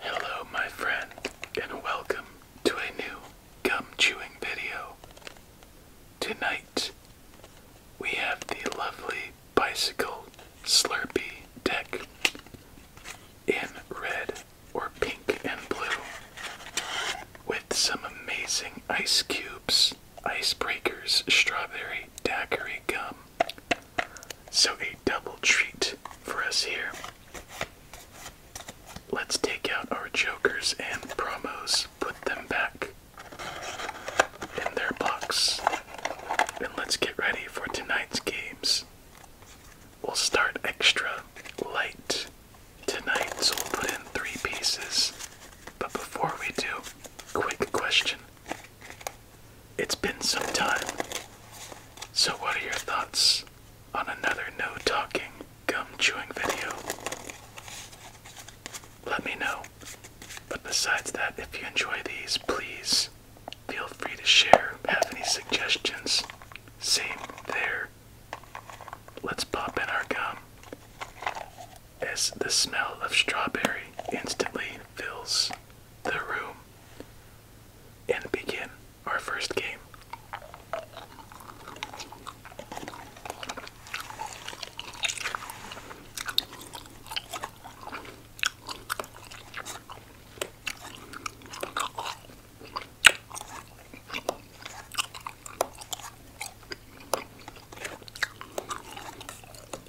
Hello, my friend, and welcome to a new gum chewing video. Tonight, we have the lovely bicycle Slurpee deck in red or pink and blue with some amazing ice cubes, ice breakers, strawberry daiquiri gum, so, a double treat for us here. Let's take out our jokers and promos, put them back in their box, and let's get ready for tonight's games. We'll start extra light tonight, so we'll put in three pieces. But before we do, quick question it's been some time. So, what are your thoughts on another no talking gum chewing video? Let me know. But besides that, if you enjoy these, please feel free to share. Have any suggestions? Same there. Let's pop in our gum. As the smell of strawberry instantly fills the room and begin our first game.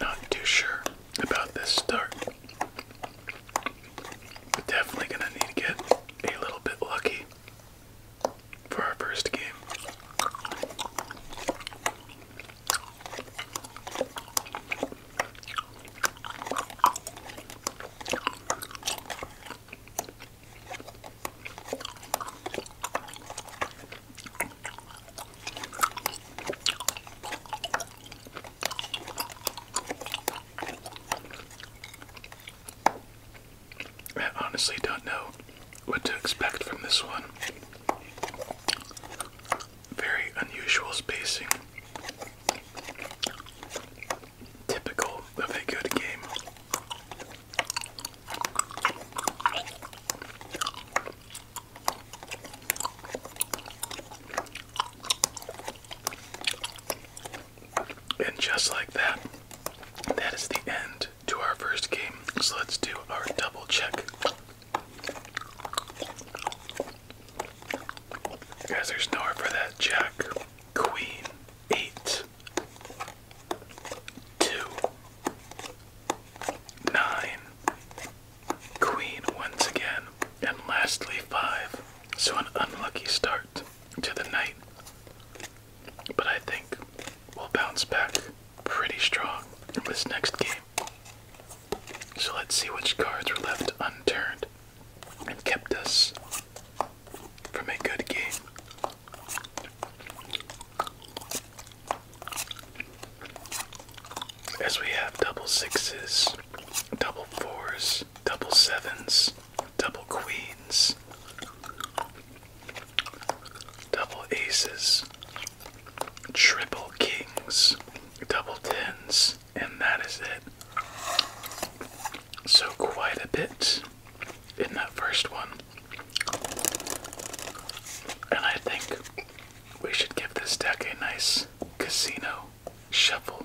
Not too sure about this start. definitely going to need to get a little bit lucky for our first game. I honestly don't know what to expect from this one. Very unusual spacing. Typical of a good game. And just like that, that is the end to our first game. So let's do our double check. Guys, there's nowhere for that jack, queen, eight, Two. Nine. Queen once again. And lastly, five. So an unlucky start to the night. But I think we'll bounce back pretty strong in this next game. So let's see which cards were left unturned and kept us from a good game. As we have double sixes, double fours, double sevens, double queens, double aces, triple kings, double tens, and that is it. So, quite a bit in that first one. And I think we should give this deck a nice casino shuffle.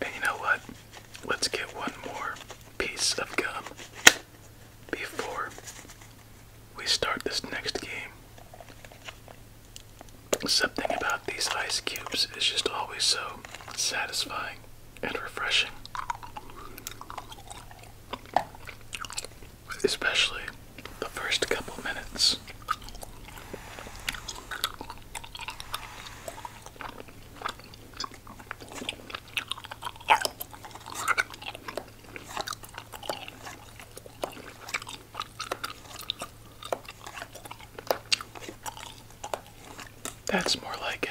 And you know what? Let's get one more piece of gum before we start this next game. Something about these ice cubes is just always so satisfying and refreshing. Especially the first couple minutes. That's more like it.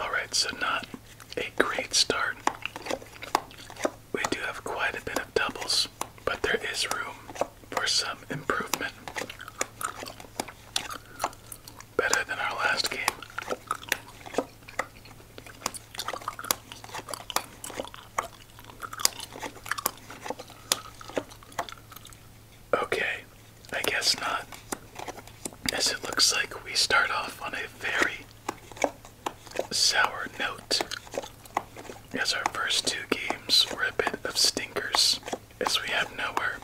All right, so not a great start. We do have quite a bit of doubles, but there is room for some improvement. Better than our last game. Okay, I guess not. As it looks like we start off on a very sour note, as our first two games were a bit of stinkers is we have nowhere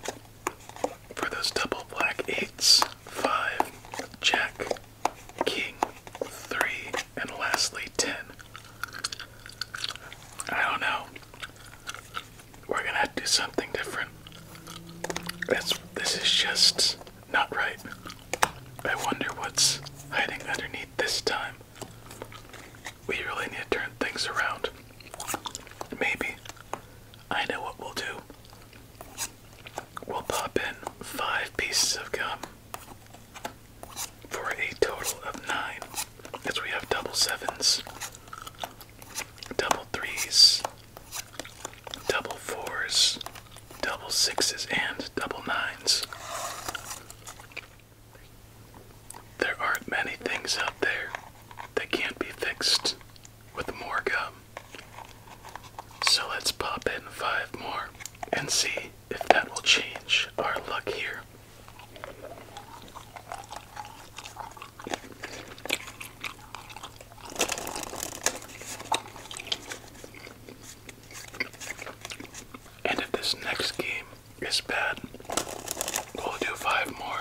for those double black eights, five, jack, king, three, and lastly ten. I don't know. We're gonna have to do something different. That's this is just not right. I wonder what's hiding underneath this time. We really need to turn things around. Maybe I know what we'll do. We'll pop in five pieces of gum for a total of nine, as we have double sevens, double threes, double fours, double sixes, and double nines. There aren't many things out there that can't be fixed with more gum. So let's pop in five more and see if that will change our luck here. And if this next game is bad, we'll do five more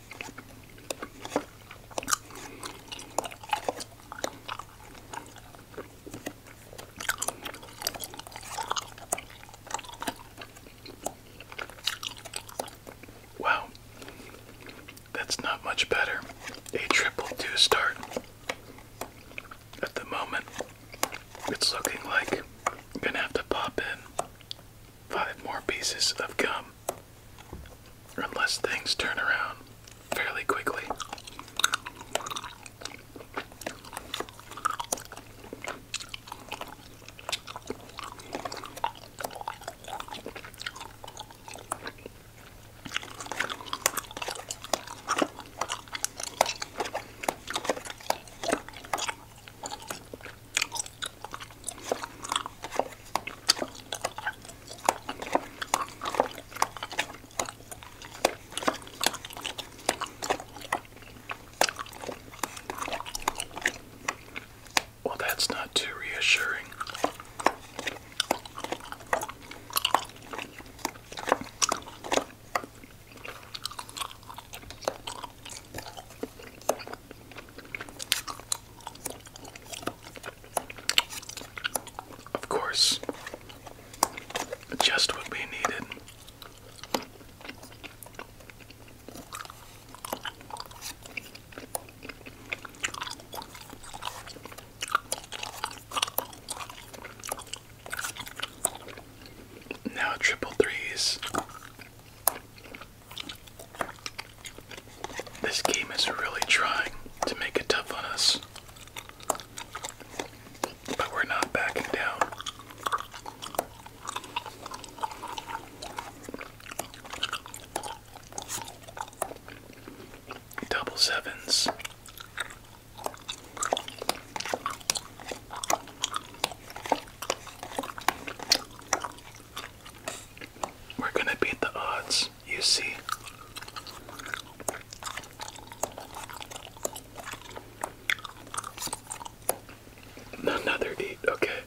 Wow, that's not much better. A triple two start. At the moment, it's looking like I'm gonna have to pop in five more pieces of gum unless things turn around fairly quickly. Well, that's not too reassuring. Of course, just what we needed. Now triple threes. This game is really trying to make it tough on us. But we're not backing down. Double sevens. We're gonna beat the odds, you see. Another eight, okay.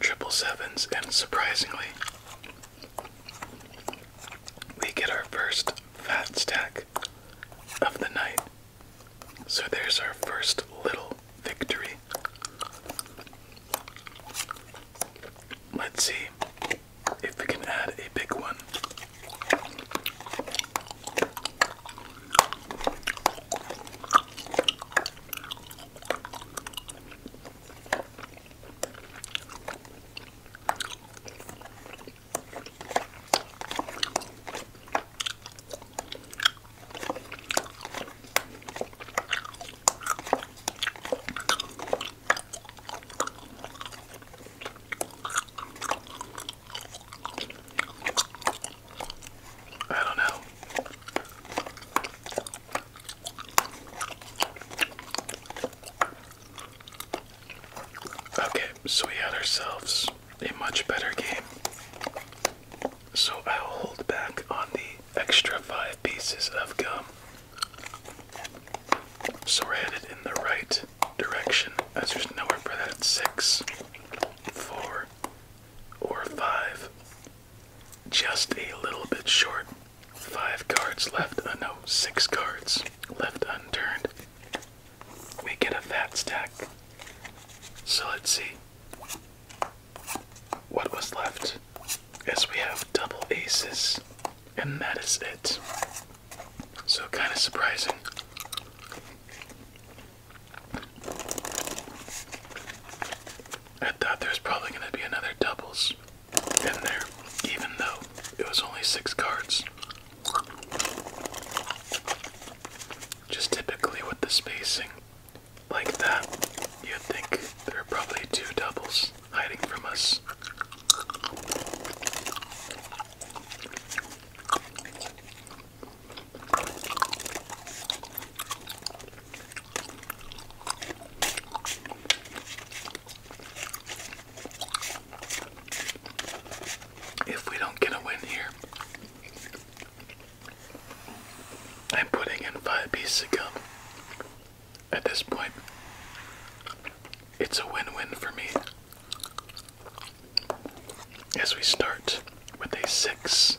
Triple sevens, and surprisingly, we get our first fat stack of the night. So there's our first little victory. Let's see if we can add a big one. I don't know. Okay, so we had ourselves a much better game. So I'll hold back on the extra five pieces of gum. So we're headed in the right direction as there's nowhere for that six, four, or five. Just a little bit short. Five cards left, uh, no, six cards left unturned we get a fat stack. So let's see. What was left is we have double aces, and that is it. So kind of surprising. I thought there was probably going to be another doubles in there, even though it was only six cards. Just typically with the spacing like that, you'd think there are probably two doubles hiding from us if we don't get a win here, I'm putting in five pieces of gum. At this point, it's a win win for me. As we start with a six.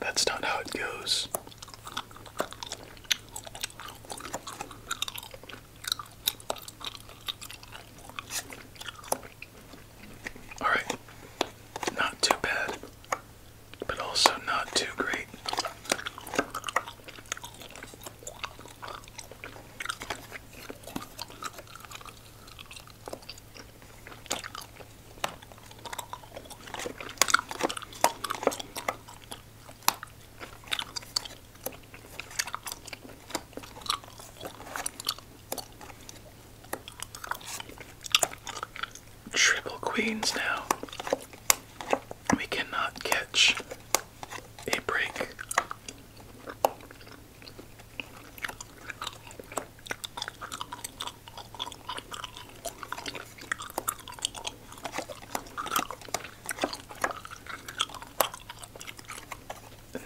That's not how it goes. All right, not too bad, but also not too great. Triple queens now. We cannot catch a break.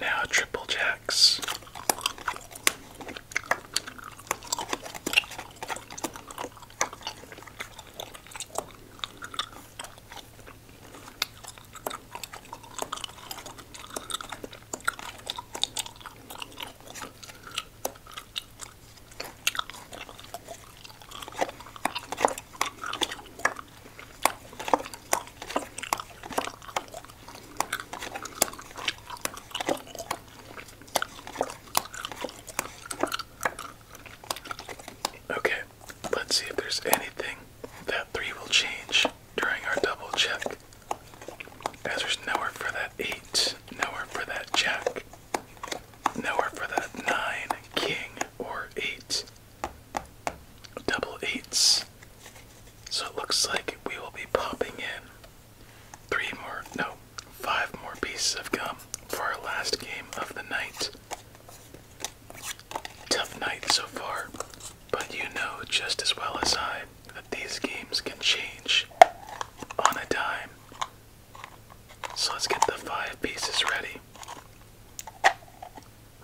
Now, triple jacks. Okay, let's see if there's anything that three will change during our double check there's nowhere for that eight, nowhere for that jack, nowhere for that nine, king, or eight. Double eights. So it looks like we will be popping in three more, no, five more pieces of gum for our last game of the night. Tough night so far. But you know just as well as I that these games can change on a dime. So let's get the five pieces ready.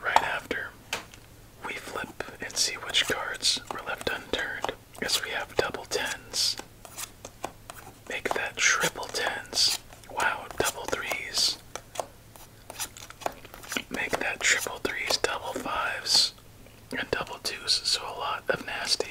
Right after, we flip and see which cards were left unturned. As we have double tens, make that triple tens. Wow, double threes. Make that triple threes, double fives, and double twos, so a lot of nasty.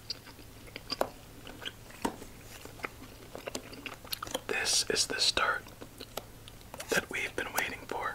This is the start that we've been waiting for.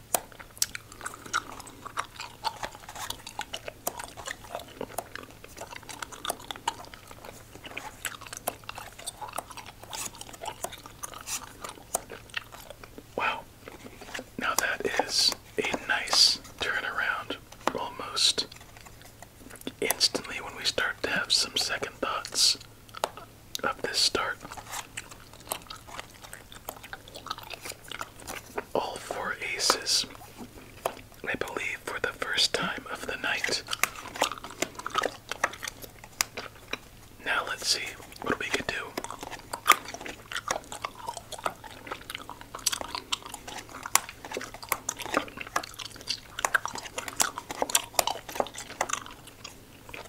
Wow. Now that is a nice turn around. almost instantly when we start to have some second thoughts of this start. All four aces, I believe, for the first time of the night. Now let's see what we could do.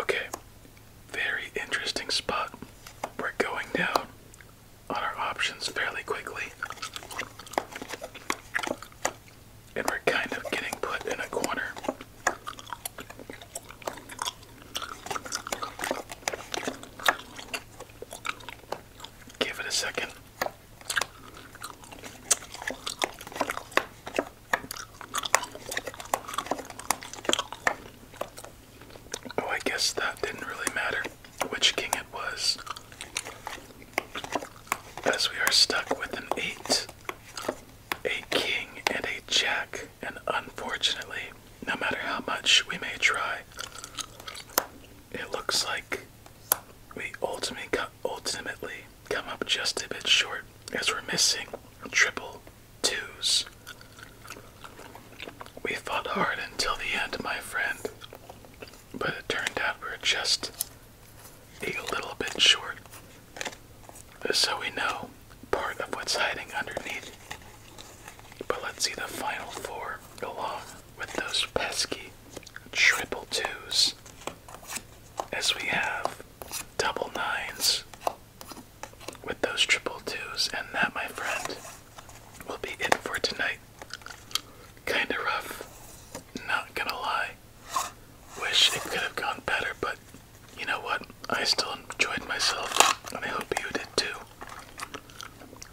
Okay, very interesting spot. We're going down on our options fairly quickly. And we're kind of getting put in a corner Give it a second. Oh, I guess that didn't really matter which king it was, as we are stuck with an eight, a king, and a jack. And unfortunately, no matter how much we may try, it looks like we ultimately come up just a bit short as we're missing triple twos. We fought hard until the end, my friend, but it turned out we we're just a little bit short so we know part of what's hiding underneath. But let's see the final four along with those pesky triple twos as we have double nines with those triple twos and that my friend will be it for tonight kinda rough not gonna lie wish it could have gone better but you know what? I still enjoyed myself, and I hope you did too.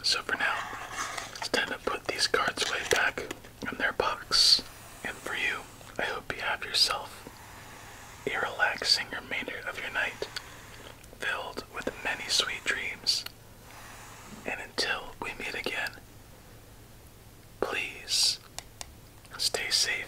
So for now, it's time to put these cards away back in their box. And for you, I hope you have yourself a relaxing remainder of your night, filled with many sweet dreams. And until we meet again, please stay safe